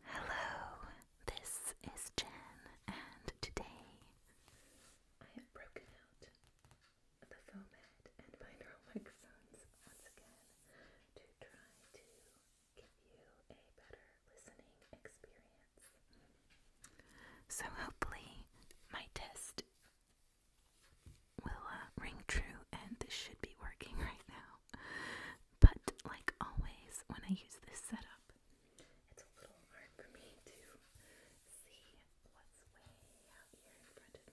Hello, this is Jen, and today I have broken out the foamhead and binaural microphones once again to try to give you a better listening experience. So, hopefully, my test will uh, ring true, and this should be working right now. But like always, when I use this setup, it's a little hard for me to see what's way out here in front of me.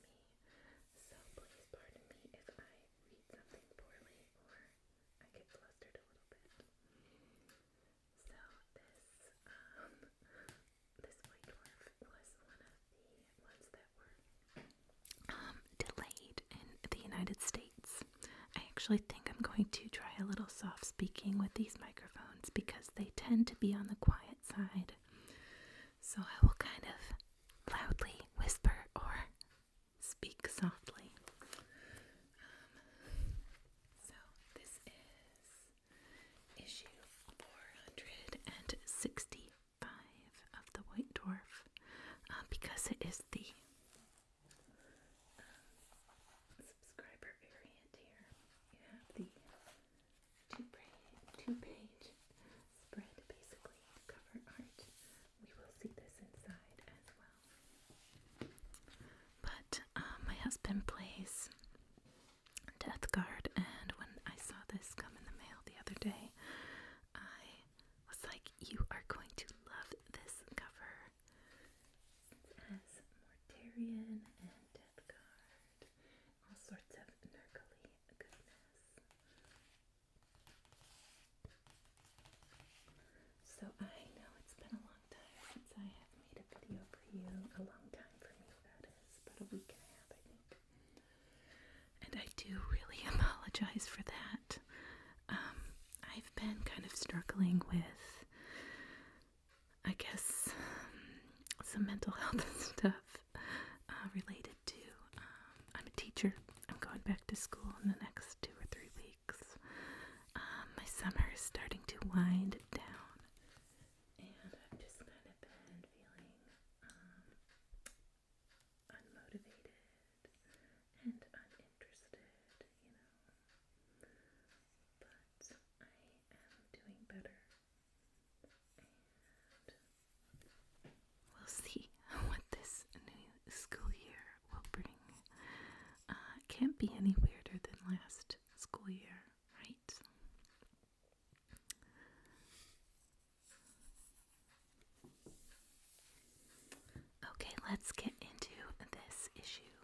So please pardon me if I read something poorly or I get flustered a little bit. So this um this white dwarf was one of the ones that were um, delayed in the United States. I actually think I'm going to try a little soft speaking with these microphones because they tend to be on the quiet side. So I will kind of loudly whisper or speak softly. Um, so this is issue 465 five of the White Dwarf uh, because it is the uh, subscriber variant here. You have the two page, spread basically cover art. We will see this inside as well. But uh, my husband plays Death Guard, and when I saw this come in the mail the other day, I was like, you are going to love this cover. It has Mortarian and Death all sorts of nurgly goodness. So I know it's been a long time since I have made a video for you. A long time for me that is, about a week and a half I think. And I do really apologize for that. Um, I've been kind of struggling with, I guess, um, some mental health stuff uh, related to. Um, I'm a teacher, I'm going back to school in the next two or three weeks. my summer is starting to wind down, and I've just kind of been feeling unmotivated and uninterested, you know. But I am doing better. we'll see what this new school year will bring. it uh, can't be any weirder than last school year, right? Okay, let's get into this issue.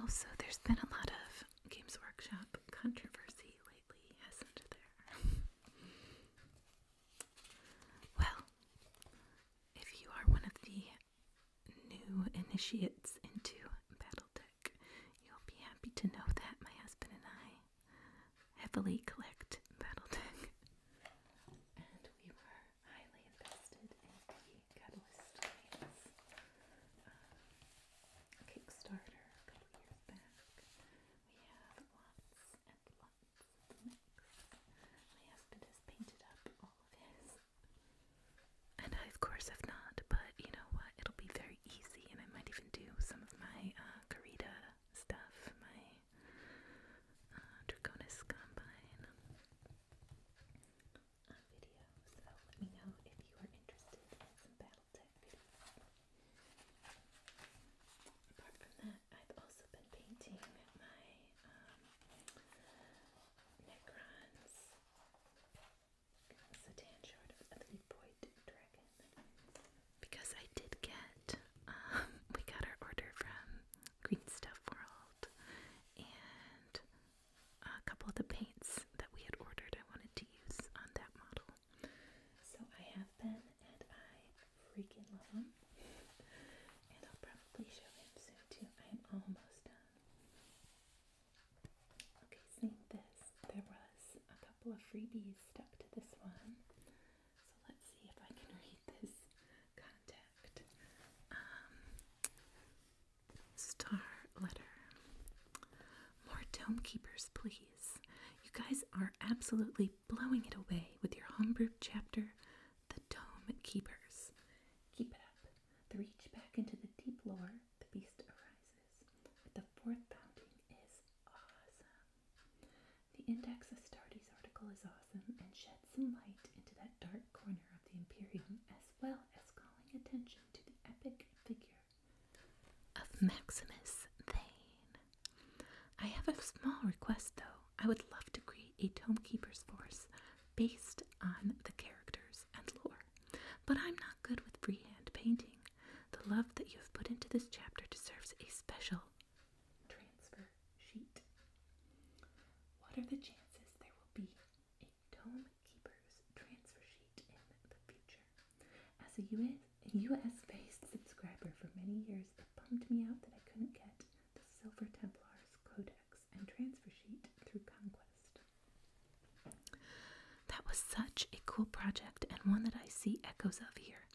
Also, there's been a lot of Games Workshop controversy lately, hasn't there? well, if you are one of the new initiates into battle deck. You'll be happy to know that my husband and I heavily collect battle deck, And we were highly invested in the Catalyst uh, Kickstarter a couple years back. We have lots and lots My husband has painted up all of his and I, of course, have not, but you know what? It'll be very easy, and I might even do some of my uh, stuff, my uh, Combine um, uh, video. So let me know if you are interested in some Battletech videos. Apart from that, I've also been painting my um, Necrons. Satan short of the Dragon. Because I did get, um, we got our order from Green Stuff World and a couple of the paints that we had ordered I wanted to use on that model. So I have been and I freaking love them. And I'll probably show him soon too. I'm almost done. Okay, seeing this, there was a couple of freebies stuck to this one. So let's see if I can read this contact. Um, star letter. More Tome Keepers, please. You guys are absolutely blowing it away with your homebrew chapter, The Tome Keepers. Keep it up. The reach back into the deep lore, the beast arises. the fourth bounding is awesome. The Index Astartes article is awesome and sheds some light into that dark corner of the Imperium, as well as calling attention to the epic figure of Maximus Thane. I have a small request though. I would love to create a Tomekeeper's force based on the characters and lore, but I'm not good with freehand painting. The love that you have put into this chapter deserves a special transfer sheet. What are the chances there will be a Tomekeeper's transfer sheet in the future? As a US, US based subscriber for many years, it bummed me out that I couldn't get the Silver Templars Codex and Transfer Sheet through Conquest. That was such a cool project and one that I see echoes of here.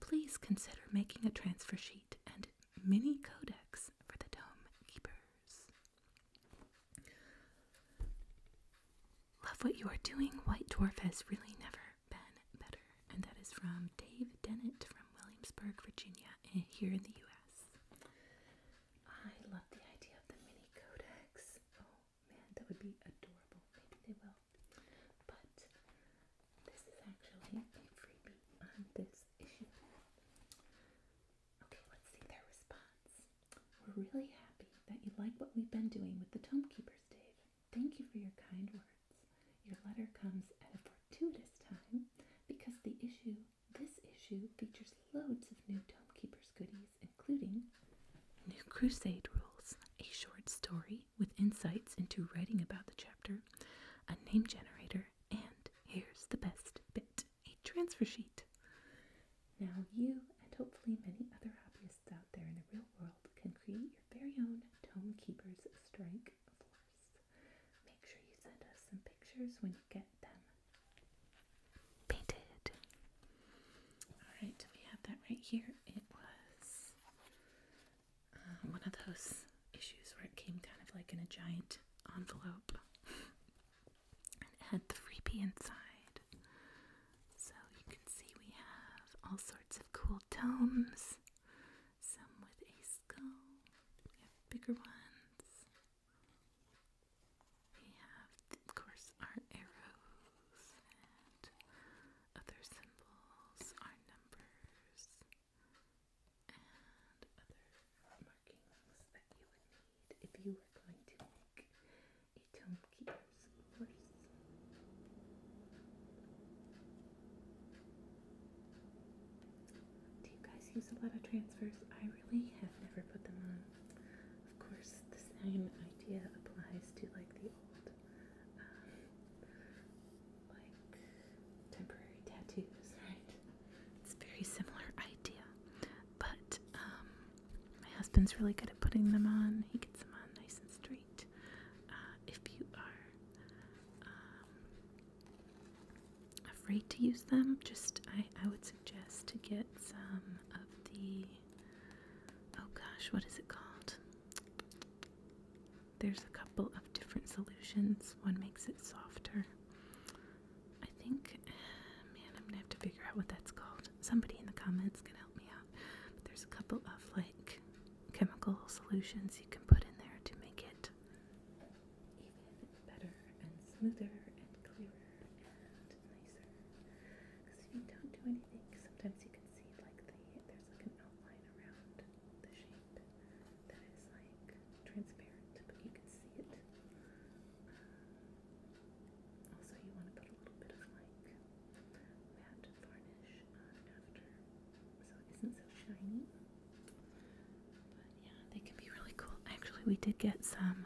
Please consider making a transfer sheet and mini codex for the Dome Keepers. Love what you are doing. White Dwarf has really never been better. And that is from Dave Dennett from Williamsburg, Virginia, eh, here in the U.S. I love the idea of the mini codex. Oh man, that would be adorable. Maybe they will. But this is actually a freebie on this issue. Okay, let's see their response. We're really happy that you like what we've been doing with the Tome Keepers, Dave. Thank you for your kind words. Your letter comes at a fortuitous time because the issue this issue features loads of new Tomekeepers goodies, including New Crusade Rules, a short story with insights into writing about the chapter, a name generator, and here's the best bit a transfer sheet. Now, you and hopefully many other hobbyists out there in the real world can create your very own Tomekeepers Strike Force. Make sure you send us some pictures when you get them painted. Alright, we have that right here. It was uh, one of those issues where it came kind of like in a giant envelope and had the freebie inside. So you can see we have all sorts of cool tomes, some with a skull, we have bigger ones. We have, of course, our arrows and other symbols, our numbers, and other markings that you would need if you were going to make a tome keeper's course. Do you guys use a lot of transfers? I really have never put them on. Of course, the same idea applies to like the old, um, like temporary tattoos, right? It's a very similar idea, but um, my husband's really good at putting them on. He gets them on nice and straight. Uh, if you are um, afraid to use them, just I, I would suggest to get some of the oh gosh, what is it called? There's a couple of different solutions. One makes it softer. I think, man, I'm gonna have to figure out what that's called. Somebody in the comments can help me out. But there's a couple of like chemical solutions you can put in there to make it better and smoother and clearer and nicer. Because if you don't do anything, sometimes you can see like the there's like an outline around the shape that is like transparent, but you can see it. Um, also, you want to put a little bit of like matte varnish on after, so it isn't so shiny yeah, they can be really cool. Actually, we did get some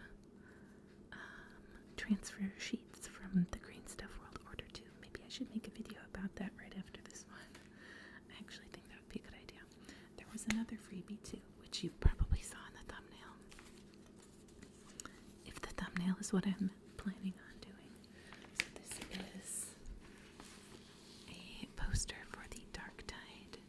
um, transfer sheets from the Green Stuff World Order too. Maybe I should make a video about that right after this one. I actually think that would be a good idea. There was another freebie too, which you probably saw in the thumbnail. If the thumbnail is what I'm planning on doing. So this is a poster for the Dark Tide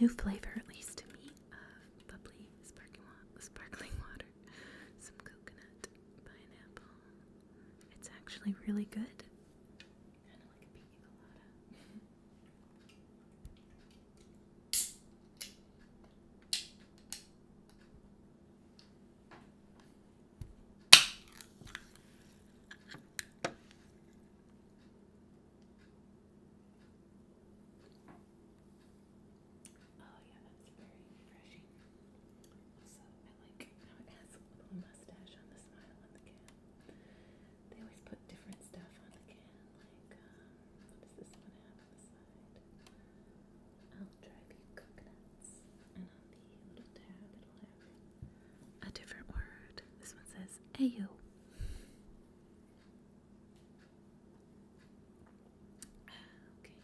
New flavor, at least to me, of bubbly sparkling, water, some coconut, pineapple. It's actually really good. Kind of like a pina colada. Oh yeah, that's very refreshing. Also, I like how it has a little mustache on the smile on the can. They always put different stuff on the can, like um, what does this one have on the side? I'll drive you coconuts. And on the little tab, it'll a different word. This one says Ayo. Okay.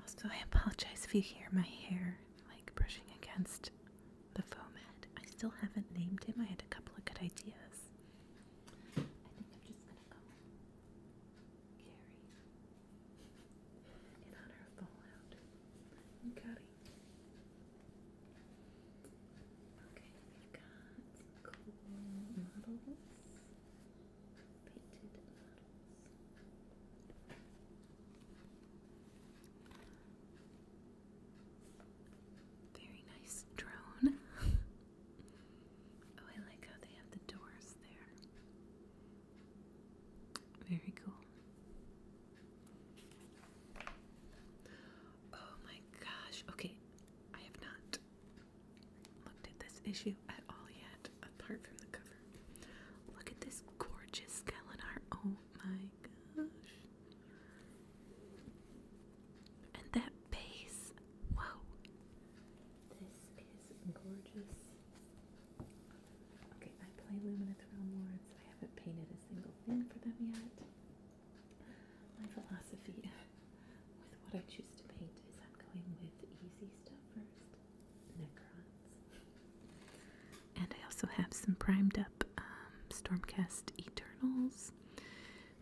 Also, I apologize if you hear my hair like brushing against the foam head. I still haven't named him. I had a couple of good ideas. I think I'm just gonna go Gary in honor of Fallout and Okay, we got cool models, painted models. Very nice drone. oh, I like how they have the doors there. Very cool. Oh my gosh. Okay, I have not looked at this issue at all yet, apart from the cover. Look at this gorgeous Skelenar. Oh my gosh. And that base. Whoa. This is gorgeous. Okay, I play Luminous Realm Lords. I haven't painted a single thing for them yet my philosophy with what I choose to paint is I'm going with easy stuff first, Necrons. And I also have some primed up um, Stormcast Eternals.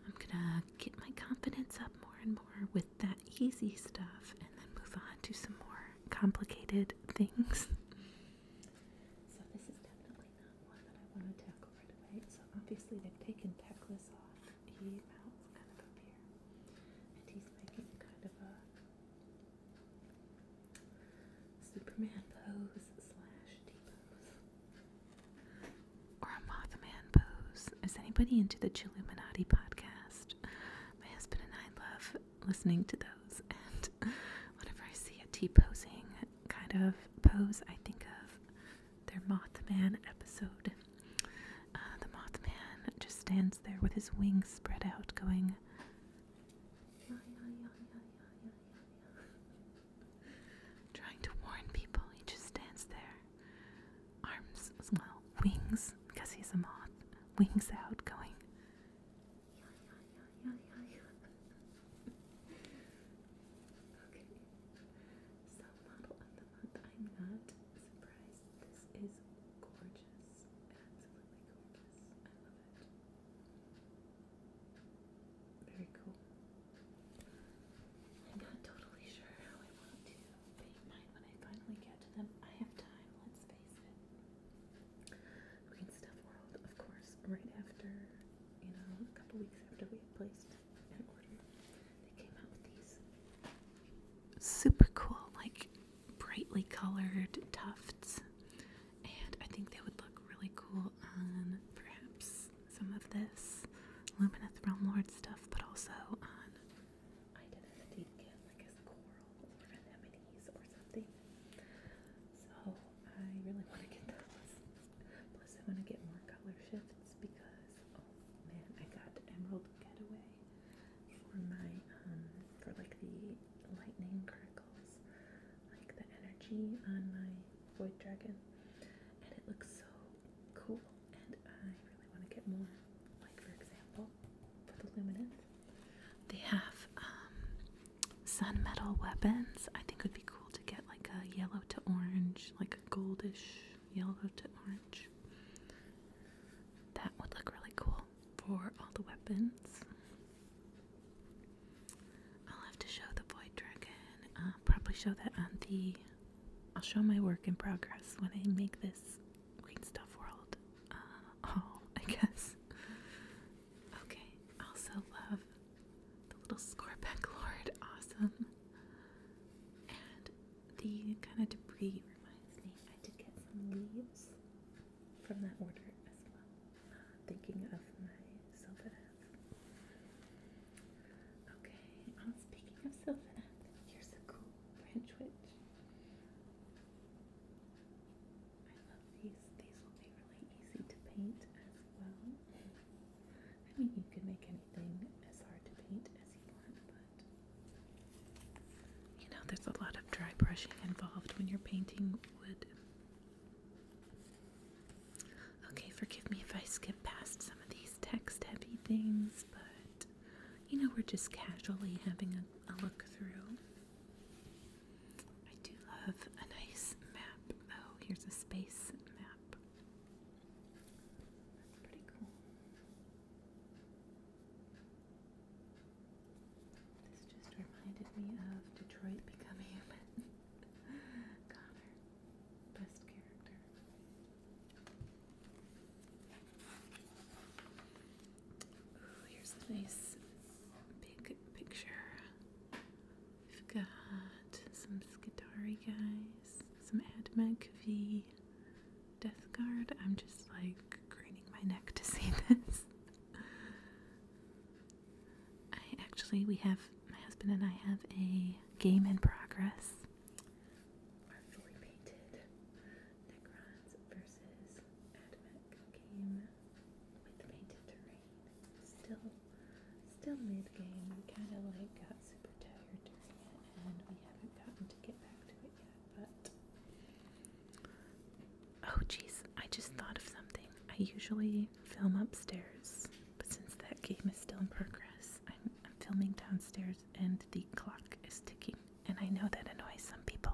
I'm gonna get my confidence up more and more with that easy stuff and then move on to some more complicated things. so, this is definitely one that I want to tackle right away. So obviously they've taken Peckless off. He mounts kind of up here. And he's making kind of a Superman pose slash T pose. Or a Mothman pose. Is anybody into the Chilluminati podcast? My husband and I love listening to those and whenever I see a T posing kind of pose, I think of their Mothman episode. Uh, the Mothman just stands there with his wings spread out, going. Trying to warn people, he just stands there, arms, wings, because he's a moth, wings out, going. Self model of the month. I'm not surprised. This is gorgeous. Absolutely gorgeous. I love it. Very cool. I'm not totally sure how I want to paint mine when I finally get to them. I have time, let's face it. Green Stuff World, of course, right after a couple weeks after we had placed an order, they came out with these super cool, like brightly colored tufts. And I think they would look really cool on perhaps some of this Lumineth Realm Lord stuff, but also on identity like as coral or anemones or something. So I really want to get those. Plus, I want to get more color shifts because, oh man, I got Emerald Getaway for my, um, for like the lightning crackles, like the energy on my Void Dragon. And it looks so cool, and I really want to get more. Like, for example, for the Luminance, they have, um, sun metal weapons. I think it would be cool to get like a yellow to orange, like a goldish yellow to orange. That would look really cool for all the weapons. I'll have to show the void dragon. I'll probably show that on the. I'll show my work in progress when I make this Green Stuff World uh, oh, I guess. Okay, also love the little Scorpec Lord. Awesome. And the kind of debris reminds me I did get some leaves from that order as well. thinking of my Sylvaneth. Okay, I'm um, speaking of Sylvaneth, here's a cool French witch. I love these. These will be really easy to paint I mean, you can make anything as hard to paint as you want, but you know, there's a lot of dry brushing involved when you're painting wood. Okay, forgive me if I skip past some of these text heavy things, but you know, we're just casually having a look through. I do love a nice map. Oh, here's a space map. pretty cool. This just reminded me of Detroit Become Human. Connor, best character. Ooh, here's a nice big picture We've got some Skitari guys, some Admeg V, Death Guard. I'm just like craning my neck to see this. actually, we have, my husband and I have a game in progress. Artfully painted Necrons versus Admec Still, still mid game. We kind of like got super tired during it, and we haven't gotten to get back to it yet. But oh, jeez, I just thought of something. I usually film upstairs, but since that game is still in progress, I'm, filming downstairs, and the clock is ticking. And I know that annoys some people.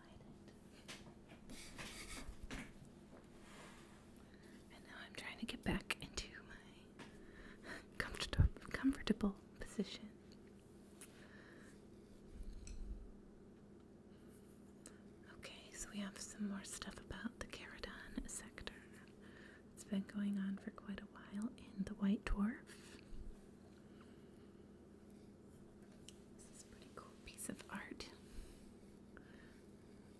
And now I'm trying to get back into my comfortable comfortable position. Okay, so we have some more stuff about the Caradon sector. It's been going on for quite a while in the White Dwarf. This is pretty cool piece of art.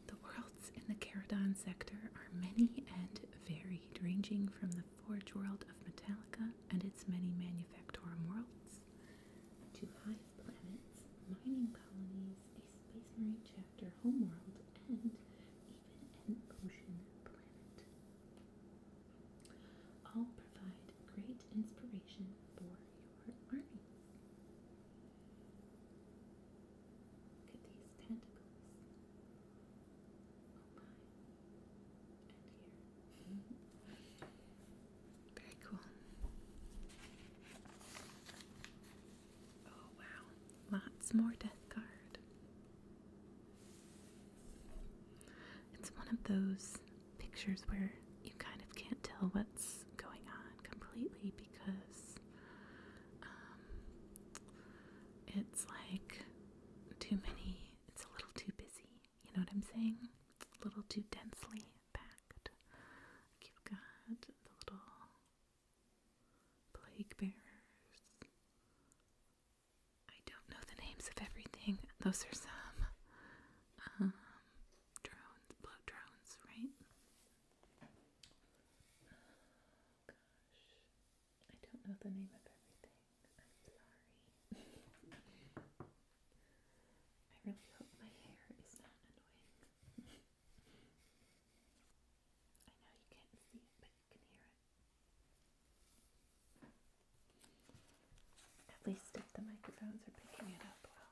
The worlds in the Caradon sector are many and varied, ranging from the forge world of Metallica and its many manufactorum worlds to hive planets, mining colonies, a space marine chapter homeworld, and even an ocean planet all provide great inspiration for your army. Look at these tentacles. Oh Very cool. Oh wow. Lots more Death Guard. It's one of those pictures where you kind of can't tell what's going on completely because um, it's like too many, it's a little too busy. You know what I'm saying? A little too densely packed. Like you've got the little plague bearers I don't know the names of everything. Those are some um, drones, blow drones, right? Oh, gosh, I don't know the name of everything. I'm sorry. I really hope my hair is not annoying. I know you can't see it, but you can hear it. At least if the microphones are picking it up well.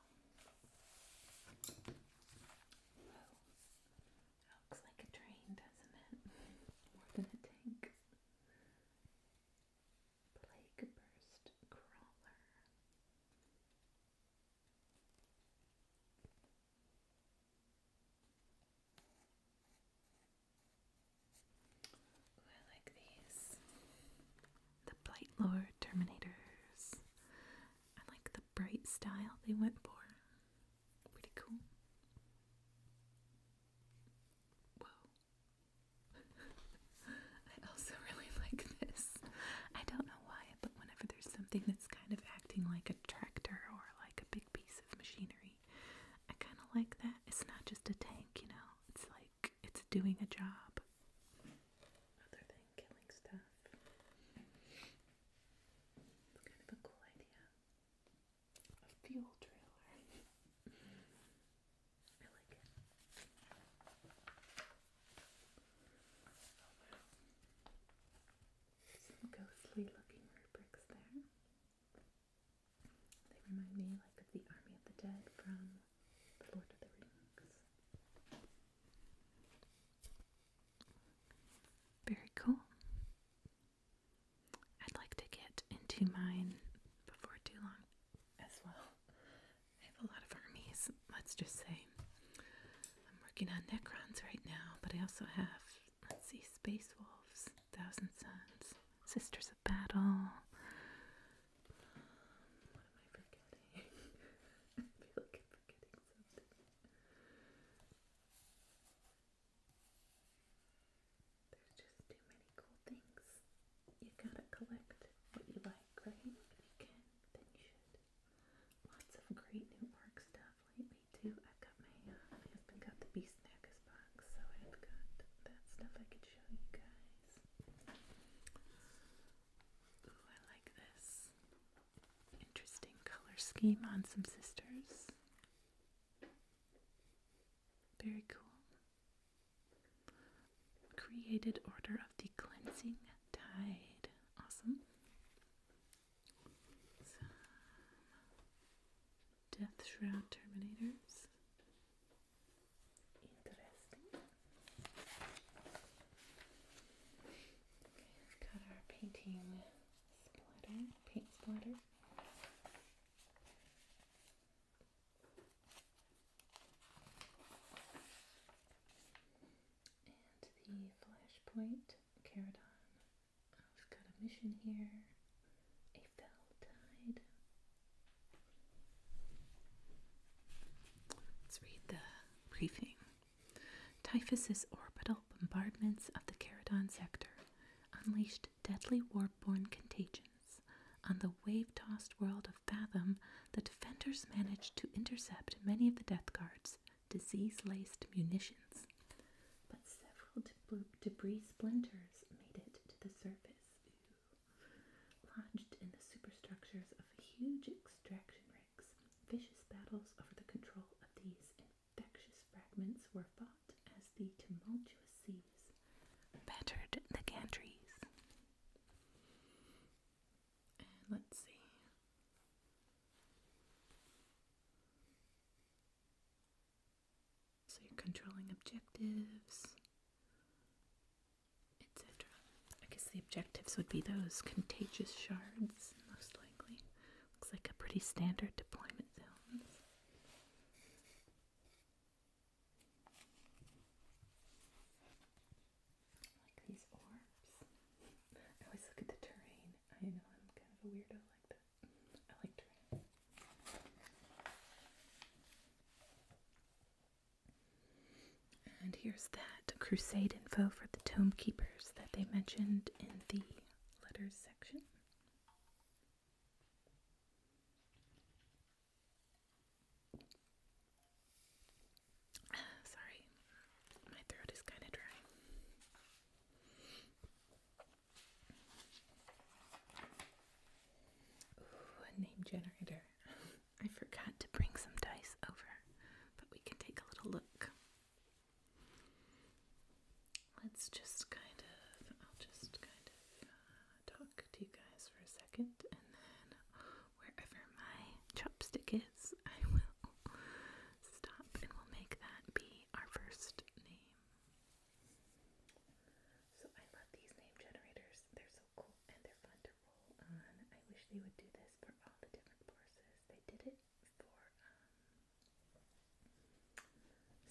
Oh, looks like a train, doesn't it? More than a tank. Plague burst crawler. Ooh, I like these. The Blight Lord Terminators. I like the bright style they went for. Pretty cool. Whoa. I also really like this. I don't know why, but whenever there's something that's kind of acting like a tractor or like a big piece of machinery, I kind of like that. It's not just a tank, you know? It's like it's doing a job other than killing stuff. kind of a cool idea. A fuel trailer. I like it. Some ghostly looking rubrics there. They remind me like of the Army of the Dead from The Lord of the Rings. Very cool. I'd like to get into mine before too long as well. I have a lot of armies, let's just say. I'm working on Necrons right now, but I also have, let's see, Space Wolves, Thousand Sons, Sisters of battle. what am I forgetting? I feel forgetting something. There's just too many cool things. You gotta collect what you like, right? If you can, then you should. Lots of great new org stuff lately too. I've got uh, my husband got the Beast Snackers box, so I've got that stuff I could show you guys. I like this. Interesting color scheme on some sisters. Very cool. Created Order of the Cleansing Tide. Awesome. Some Death Shroud Terminators got our painting splatter, paint splatter. And the flashpoint, Caradon. I've got a mission here. Let's read the briefing. Typhus orbital bombardments of the Caradon sector unleashed deadly warborne contagions. On the wave-tossed world of Fathom, the defenders managed to intercept many of the Death Guard's disease-laced munitions, but several debris splinters made it to the surface lodged in the superstructures of huge extraction rigs. Vicious battles over the control of these infectious fragments were fought as the tumultuous seas battered the gantries. let's see. So you're controlling objectives etc. I guess the objectives would be those contagious shards, most likely. Looks like a pretty standard deployment zones. Like these orbs. I always look at the terrain. I know I'm kind of a weirdo like that. I like terrain. And here's that crusade info for the Tome Keepers that they mentioned in the letters section. sorry, my throat is kind of dry. name generator. I forgot to bring some dice over, but we can take a little look. Let's just kind of, I'll just kind of uh, talk to you guys for a second, and then wherever my chopstick is, I will stop and we'll make that be our first name. So I love these name generators. They're so cool and they're fun to roll on. I wish they would do this for all the different forces. They did it for um,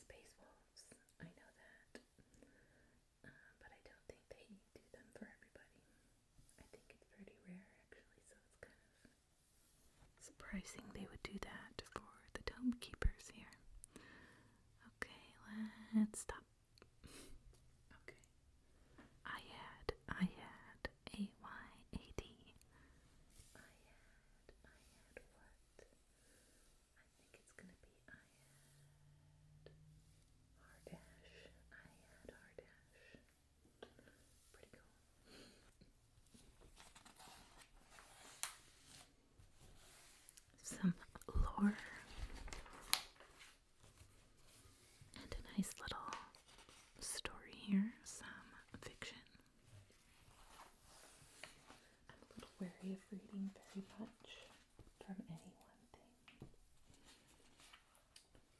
Space Wolves. I know that. Um, but I don't think they do them for everybody. I think it's pretty rare actually, so it's kind of surprising they would do that for the Tome Keepers here. Okay, let's stop I had, I had, A Y A D. I had, I had what? I think it's gonna be I had Hardash. I had Hardash. Pretty cool. Some lore. And a nice little story here, some fiction. I'm a little wary of reading very much from any one thing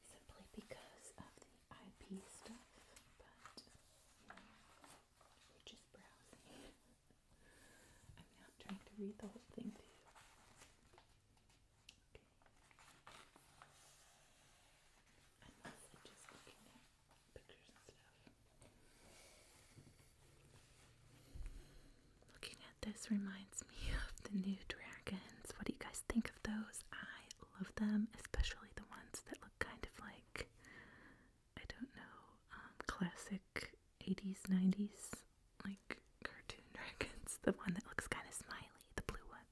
simply because of the IP stuff, but we're just browsing. I'm not trying to read the whole thing to you. Okay. I'm mostly just looking at pictures and stuff. Looking at this reminds me of the new dragons. What do you guys think of those? I love them, especially the ones that look kind of like I don't know, um, classic 80s, 90s, like cartoon dragons. The one that looks kind of smiley, the blue one.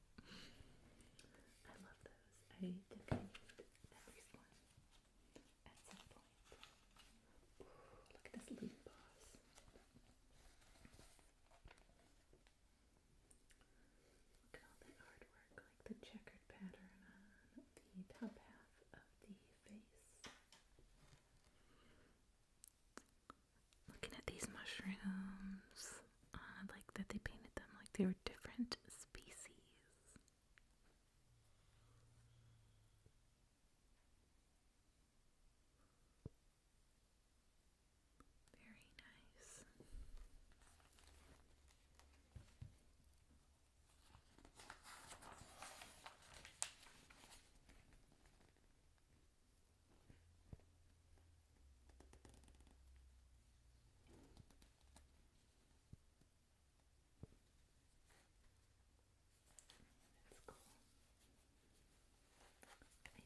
I love those. I think need every one at some point. look at this loot boss. Look at all that artwork, like the checkered pattern on the top half of the face. Looking at these mushrooms, I uh, like that they painted them like they were different species. Very nice.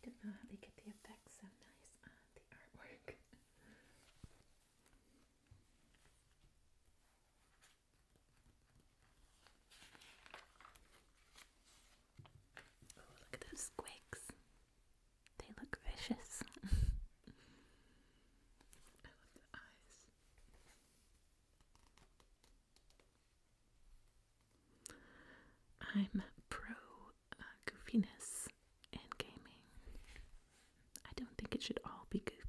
That's cool. I don't know how they get the effects so nice on the artwork. Oh, look at those squigs. They look vicious. I love the eyes. I'm pro uh, goofiness in gaming. I don't think it should all be goofy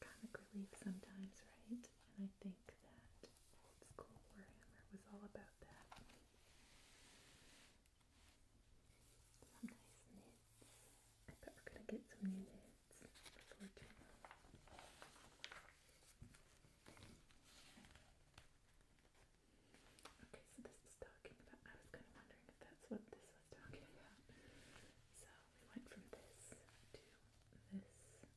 comic relief sometimes, right? And I think that old school Warhammer was all about that. Some nice knits. I bet we're gonna get some new knits Okay, so this is talking about. I was kind of wondering if that's what this was talking about. So we went from this to this.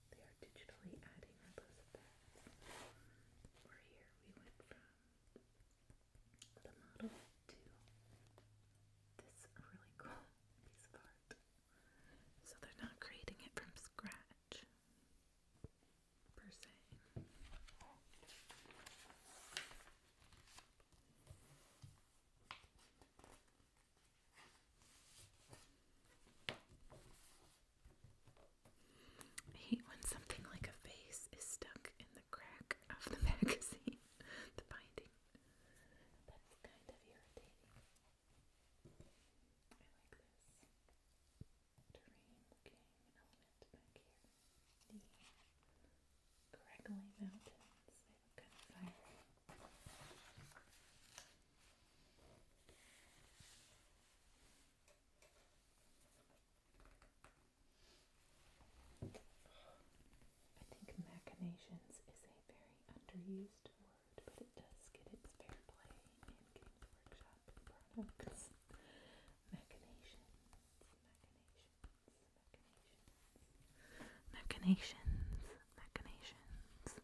They are digitally adding all those effects. Or here we went from the model to this really cool piece of art. So they're not creating it from scratch, per se. I hate when something like a face is stuck in the crack of the magazine, the binding. That's kind of irritating. I like this terrain looking element back here. The Gregory Mountains. They look kind I think machinations is a very underused word, but it does get its fair play in Games Workshop products. machinations, machinations, machinations, machinations, machinations.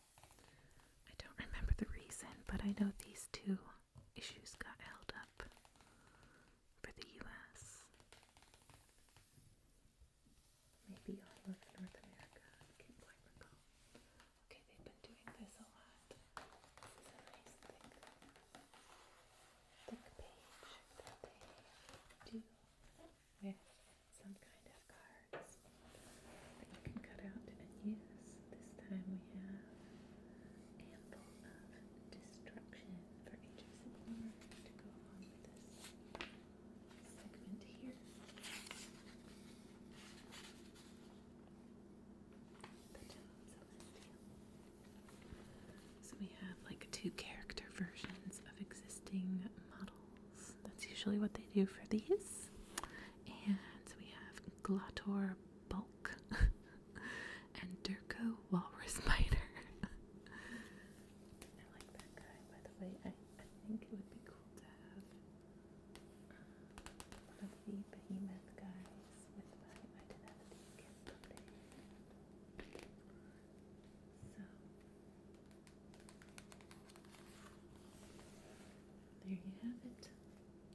I don't remember the reason, but I know these two issues got held up for the US. Maybe all of North America. I can't Okay, they've been doing this a lot. This a nice thick, thick page that they do some kind of cards that can cut out and use. This time we have Ample of Destruction for each of Sigmar to go along with this segment here. So we have like two character versions of existing models. That's usually what they do for these and we have Glator Bulk and Durko Walrus Spider. I like that guy, by the way. I, I think it would be cool to have one of the behemoth guys with my identity So, there you have it.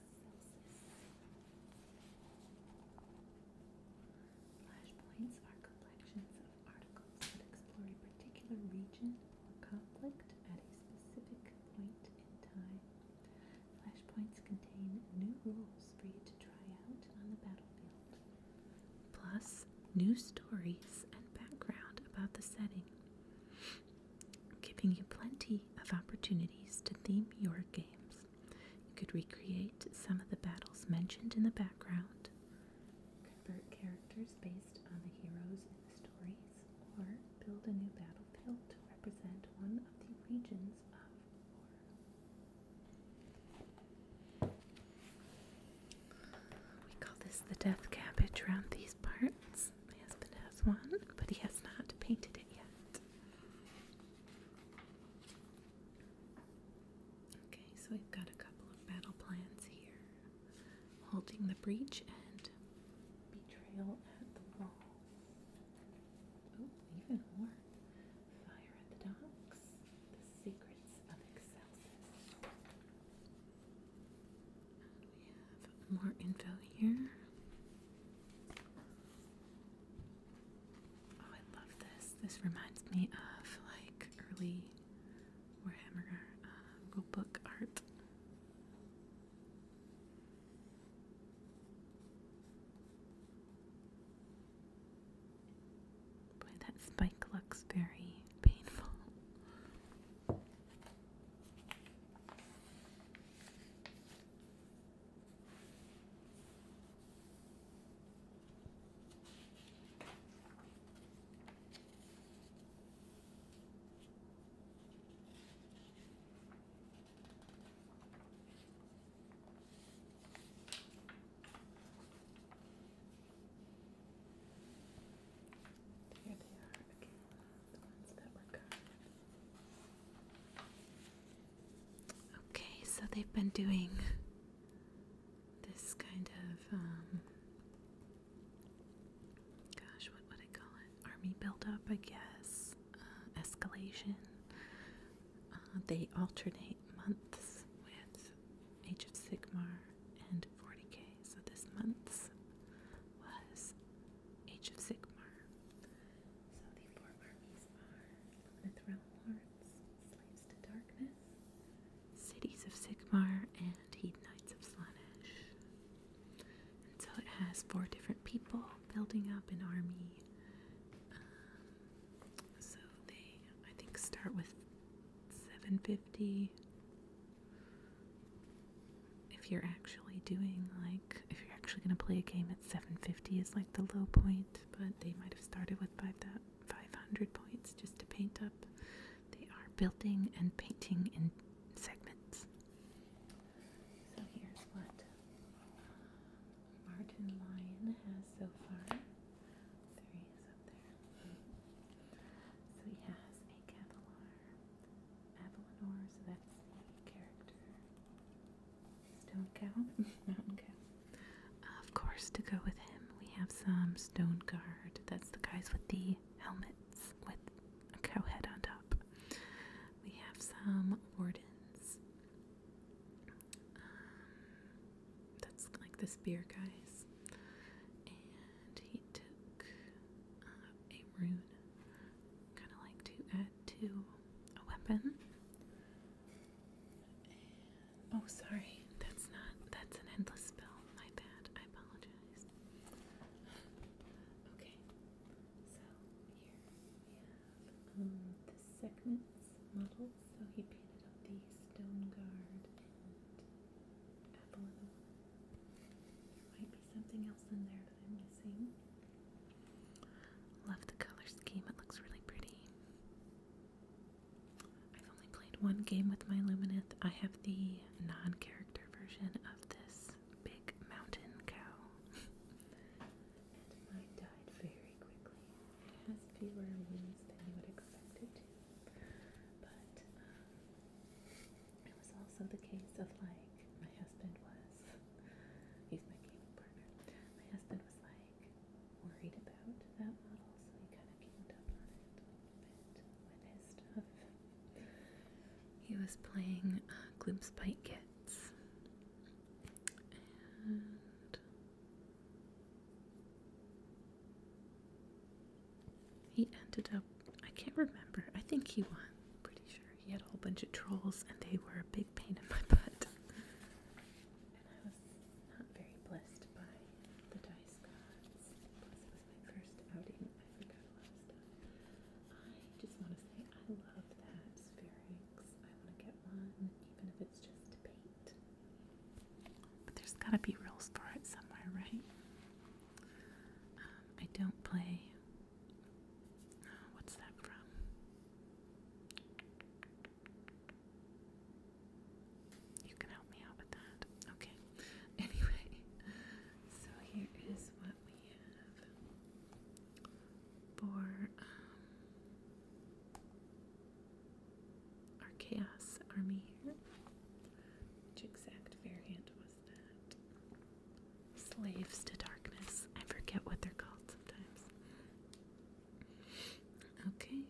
Flashpoints are collections of articles that explore a particular region or conflict at a specific point in time. Flashpoints contain new rules for you to try out on the battlefield, plus new stories and background about the setting, giving you plenty of opportunities to theme your games. You could recreate some of the battles mentioned in the background, convert characters based on the heroes in the stories, or build a new battlefield to represent one of the regions of war. We call this the death cabbage around these parts. My husband has one, but he has not painted it yet. Okay, so we've got a couple of battle plans here. Holding the breach and betrayal at the wall. Oh, even more. Fire at the docks. The secrets of Excelsis. We have more info here. Oh, I love this. This reminds me of like early Warhammer uh, book art. that spike looks very painful. Here they are again, the ones that were cut. Okay, so they've been doing this kind of, um, gosh, what would I call it? Army buildup, I guess, uh, escalation. Uh, they alternate months with Age of Sigmar and 40k. So this month's was Age of Sigmar. So the four armies are Lithril Lords, Slaves to Darkness, Cities of Sigmar, and Heed Knights of Slanesh. And so it has four different people building up an army. Um, so they, I think, start with 750. If you're actually doing like, if you're actually going to play a game at 750 it's like the low point, but they might have started with 500 points just to paint up. They are building and painting in segments. So here's what Martin Lyon has so far. So he has a Cavalar. Avalanor, so that's the character. Stone cow? Mountain cow. Of course, to go with him, we have some stone guard. That's the guys with the helmets with a cow head on top. We have some wardens. Um, that's like the spear guys. And he took uh, a rune kind of like to add to a weapon. oh, sorry, that's not, that's an endless spell. My bad, I apologize. okay, so here we have um, the segments models. So he painted up the stone guard might be something else in there that I'm missing. Love the color scheme, it looks really pretty. I've only played one game with my Lumineth. I have the non character version of this big mountain cow. and I died very quickly. It has fewer wounds than you would expect it to. But um, it was also the case of like my husband was He's my gaming partner. My husband was like worried about that model, so he kind of came down on it with his stuff. He was playing uh, Gloomspite Kids. And he ended up, I can't remember, I think he won, pretty sure he had a whole bunch of trolls, and they were a big pain in my butt. and I was not very blessed by the dice gods. Plus, was my first outing. I forgot stuff. I just want to say I love that Spherix. I want to get one, even if it's just to paint. But there's got to be rules for it somewhere, right? Um, I don't play what's that from? You can help me out with that. Okay. Anyway, so here is what we have for um, our Chaos Army here. Which exact variant was that? slaves to darkness. I forget what they're called sometimes. Okay.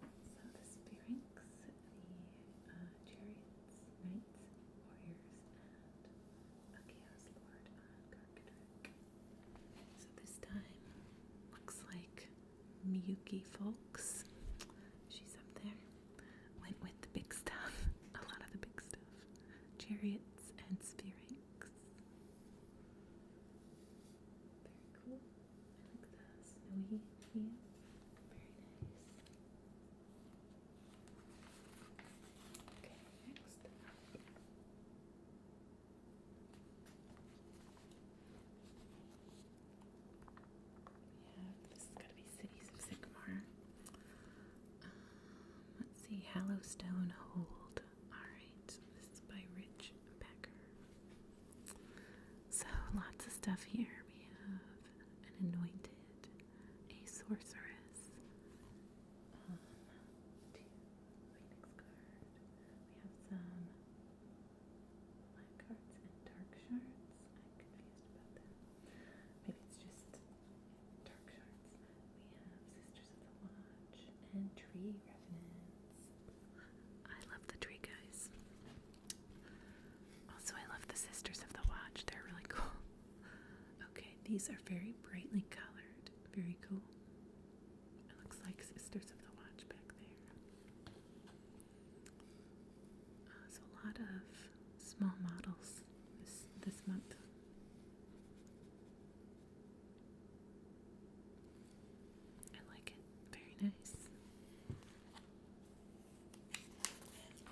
So the sphinx, the uh, chariots, knights, warriors, and chaos lord uh, So this time looks like Miyuki Folks. She's up there. Went with the big stuff. A lot of the big stuff chariots and spherings. Very cool. I like the snowy view. Very nice. Okay, next We have, this is going to be Cities of Sigmar let's see, Hallowstone Hold. Alright, this is by Rich Becker. So, lots of stuff here. We have an anointed, a sorceress. Um, two, Phoenix card. We have some black cards and dark shards. I'm confused about that. Maybe it's just I love the tree guys. Also, I love the Sisters of the Watch. They're really cool. Okay, these are very brightly colored. Very cool. It looks like Sisters of the Watch back there. Uh, so a lot of small models this, month. I like it. Very nice.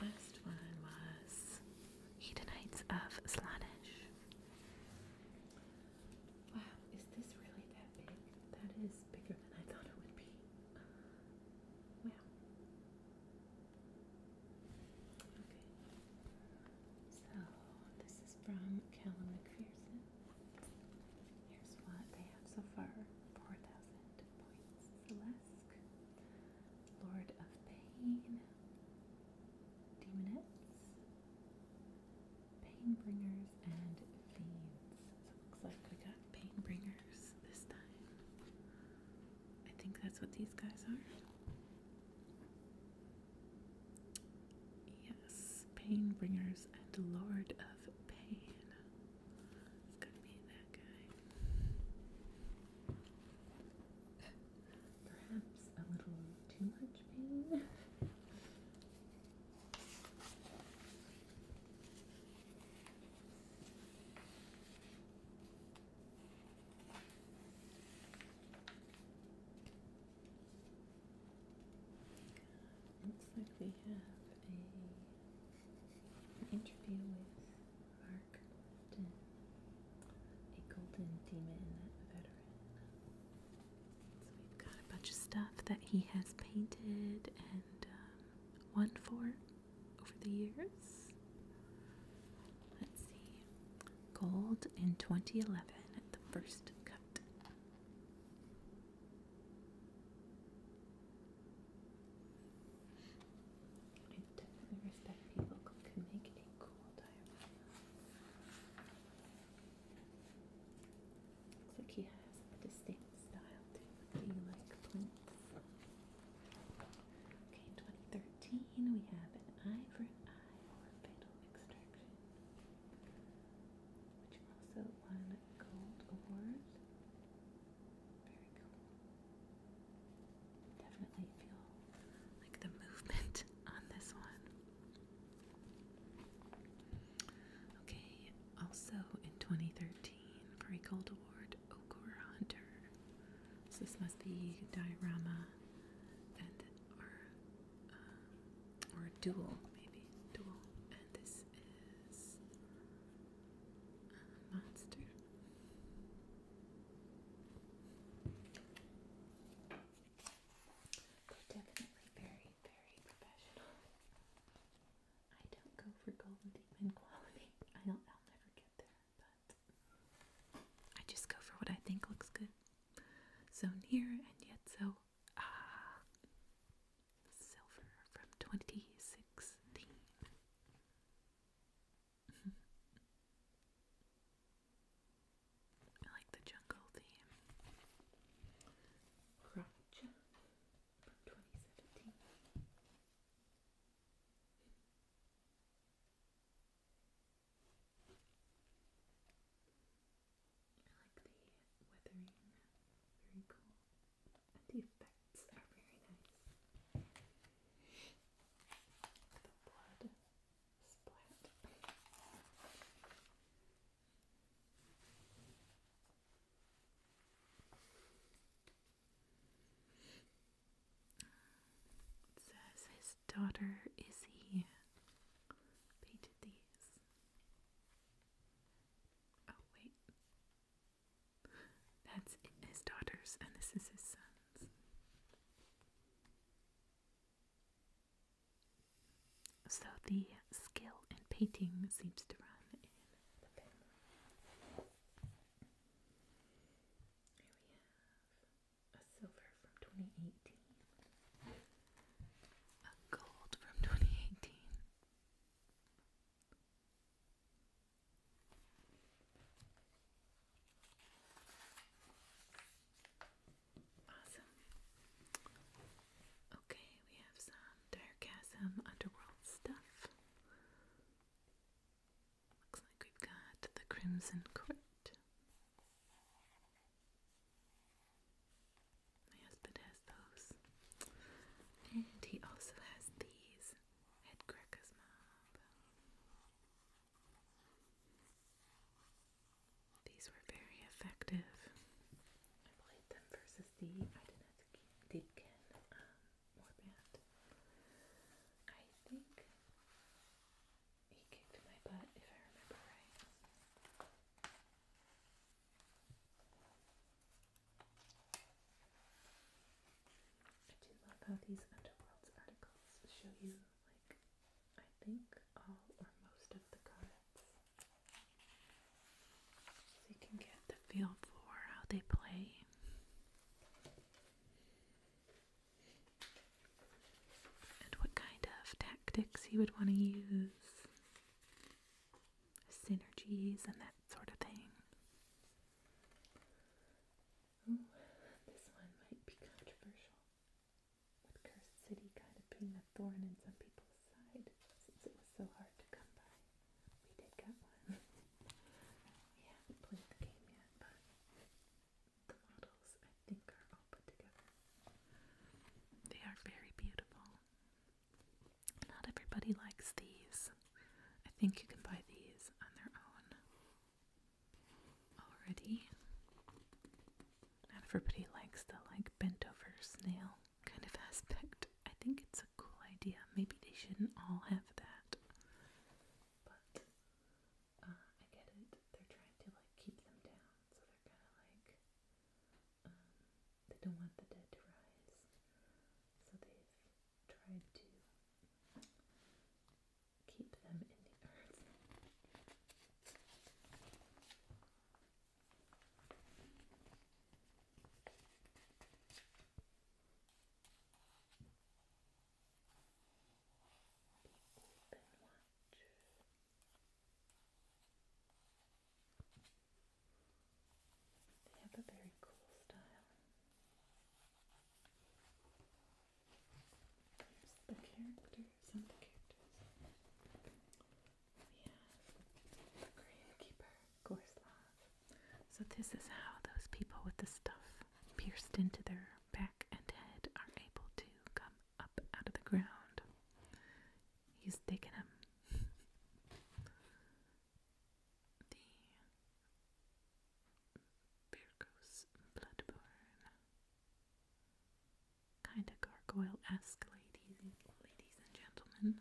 last one was Hedonites of Slanish. Wow, is this really that big? That is bigger than I thought it would be. Wow. So this is from Callum McPherson. Here's what they have so far. 4,000 points. Celeste, Lord of Pain, Demonettes, Painbringers, and Fiends. So it looks like we got Painbringers this time. I think that's what these guys are. Yes, pain bringers and lord of pain. It's gonna be that guy. Perhaps a little too much pain. Looks like we have an interview with Mark a golden demon a veteran. So we've got a bunch of stuff that he has painted and um, won for over the years. Let's see. Gold in 2011 at the first cut. I definitely respect people who can make a cool diorama. Looks like he has a distinct style too. Do you like plinths? Okay, 2013 we have an eye or extraction, which also won gold awards. Very cool. Definitely feel like the movement on this one. Okay, also in 2013 for a gold award, Okura Hunter so this must be diorama and or uh, or dual maybe dual. And this is monster. definitely very, very professional. I don't go for golden demon quality. I'll, I'll never get I just go for what I think looks good. So near and yet so ah silver from 2016. I like the jungle theme. Crotch from 2017. I like the weathering, very cool. the effects are very nice. The blood splat says his daughter is here. Painted these. Oh, wait. That's his daughter's, and this is his son's. So the skill in painting seems to run a silver from 2018, a gold from 2018. Awesome. Okay, we have some Diregasm Underworld stuff. Looks like we've got the Crimson Court. My husband has those. And he also has these headcrackers Mob. These were very effective. I played them versus the Idenet Deepkin um, warband. I think I I do love how these Underworlds articles show you, like, I think all or most of the cards. So you can get the feel for how they play and what kind of tactics you would want to use, synergies, and that sort of thing. this one might be controversial. Would Cursed City kind of being a thorn in some people's side since it was so hard to come by? We did get one. we haven't played the game yet, but the models, I think, are all put together. They are very beautiful. Not everybody likes these. I think you can buy these on their own already. Not everybody likes the like bent over snail kind of aspect. I think it's a cool idea. Maybe they shouldn't all have that. Uh, I get it. They're trying to like keep them down, so they're kind of like um, they don't want the dead to rise, so they've tried to keep them in the earth. They have a very cool style. the characters, some the characters. We the grave keeper, So this is how those people with the stuff pierced into their back and head are able to come up out of the ground. He's digging them. the Birkos Bloodborne. Kinda gargoyle esque, ladies, ladies and gentlemen.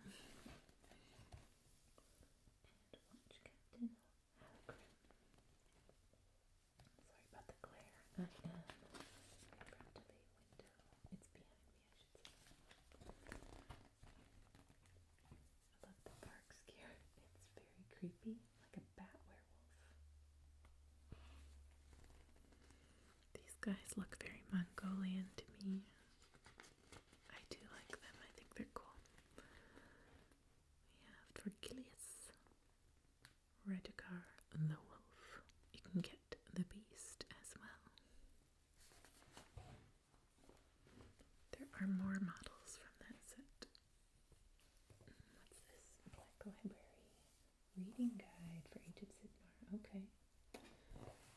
And watch Captain Halgrim Sorry about the glare. I am in front of a window. It's behind me, I should say. I love the dark scare. It's very creepy, like a bat werewolf. These guys look very Mongolian to me. I do like them. I think they're cool. We have Torgilius. Redcar and the wolf. You can get the beast as well. There are more models from that set. What's this? Black Library Reading Guide for Aged Sidmar. Okay.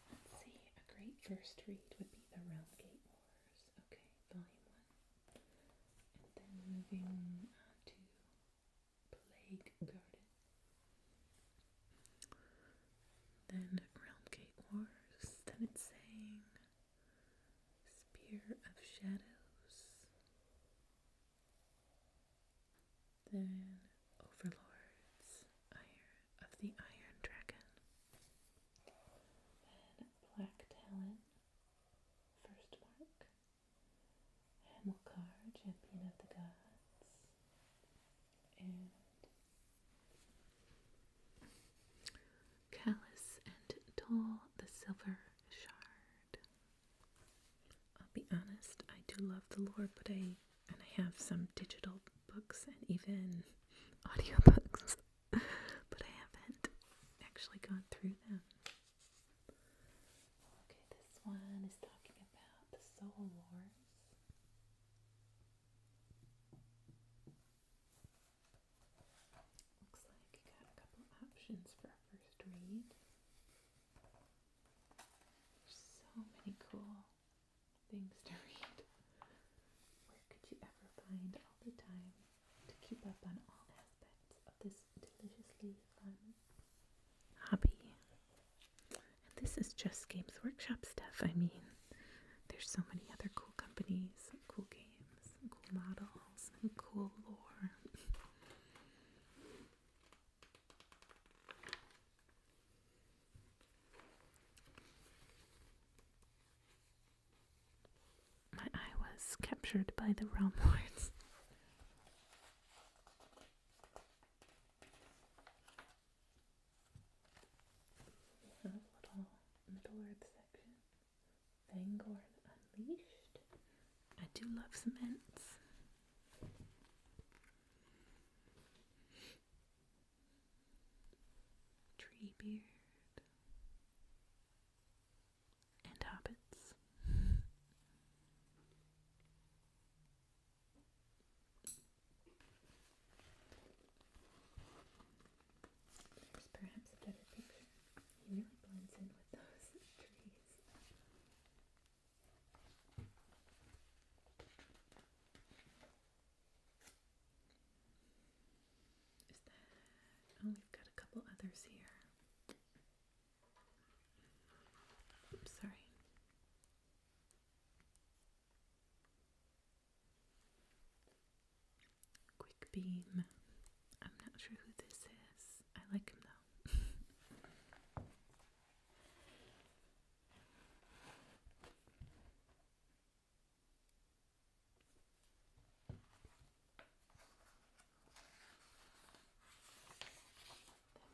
Let's see. A great first read would be The Realm Gate Wars. Okay, volume one. And then moving to Plague Garden. Then Realmgate Wars. Then it's saying Spear of Shadows. Then Overlords. Iron of the Iron Dragon. Then Black Talon. First mark. Hamilcar, champion of the gods, and Callous and Toll, the silver shard. I'll be honest, I do love the lore, but I and I have some digital books and even audiobooks, but I haven't actually gone through them. Okay, this one is talking about the Soul Wars. Looks like you got a couple options for a first read. There's so many cool things to read. Where could you ever find all the time to keep up on all aspects this deliciously fun hobby. this is just Games Workshop stuff. I mean, there's so many other cool companies, cool games, cool models, and cool lore. My eye was captured by the realm lords. A little Middle Earth section. Vanguard Unleashed. I do love some mints. Treebeard and habits. There's perhaps a better picture. He really blends in with those trees. Is that? Oh, we've got a couple others here sorry. Quick beam. I'm not sure who this is. I like him though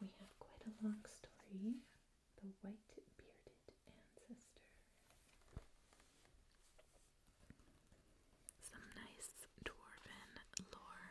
we have quite a long story The White Bearded Ancestor. Some nice dwarven lore.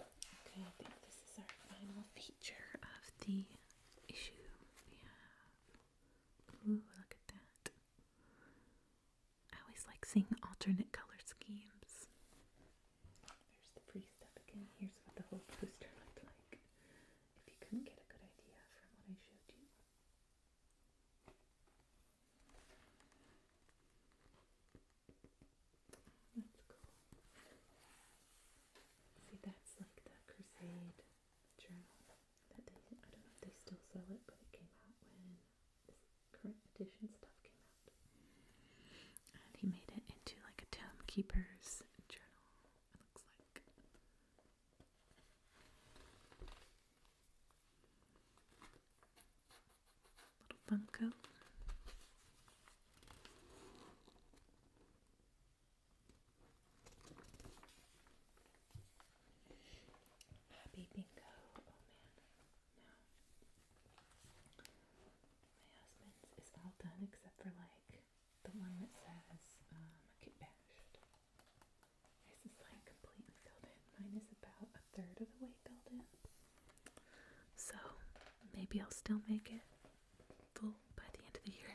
Okay, I think this is our final feature of the issue. We Ooh, look at that. I always like seeing alternate color schemes. There's the pretty stuff again. Here's what the whole poster looked like. If you couldn't get a good idea from what I showed you. That's cool. See, that's like that Crusade journal I don't know if they still sell it, but it came out when current edition stuff came out. And he made it into like a Tomb Keeper's journal, it looks like. Little Funko. Happy bingo. Oh man. My husband's is all done except for like the one that says um, get bashed. This like completely filled in. Mine is about a third of the way filled in. So maybe I'll still make it full by the end of the year.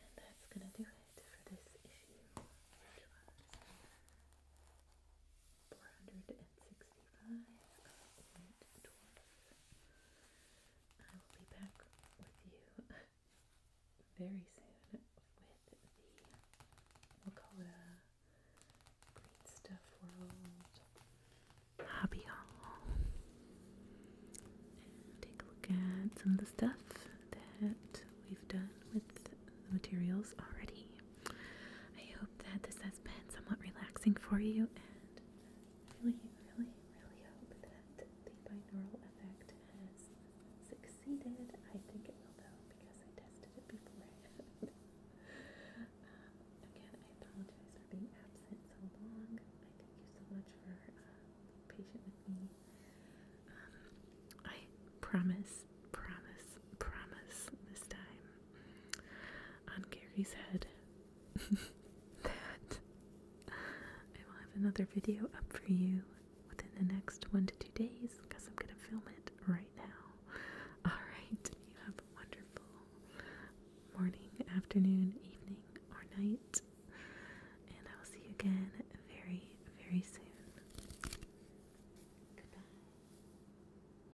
And that's going to do it for this issue. 465 I will be back with you very soon with the, we'll call it a Green Stuff World hobby haul. take a look at some of the stuff that we've done with the materials already. I hope that this has been somewhat relaxing for you, and really, really, really hope that the binaural effect has succeeded. I think it will, though, because I tested it beforehand. Um, again, I apologize for being absent so long. I thank you so much for uh, being patient with me. Um, I promise, promise, promise this time on Gary's head that I will have another video up for you within the next one to two days because I'm going to film it right now. Alright, you have a wonderful morning, afternoon, evening, or night, and I will see you again very, very soon. Goodbye.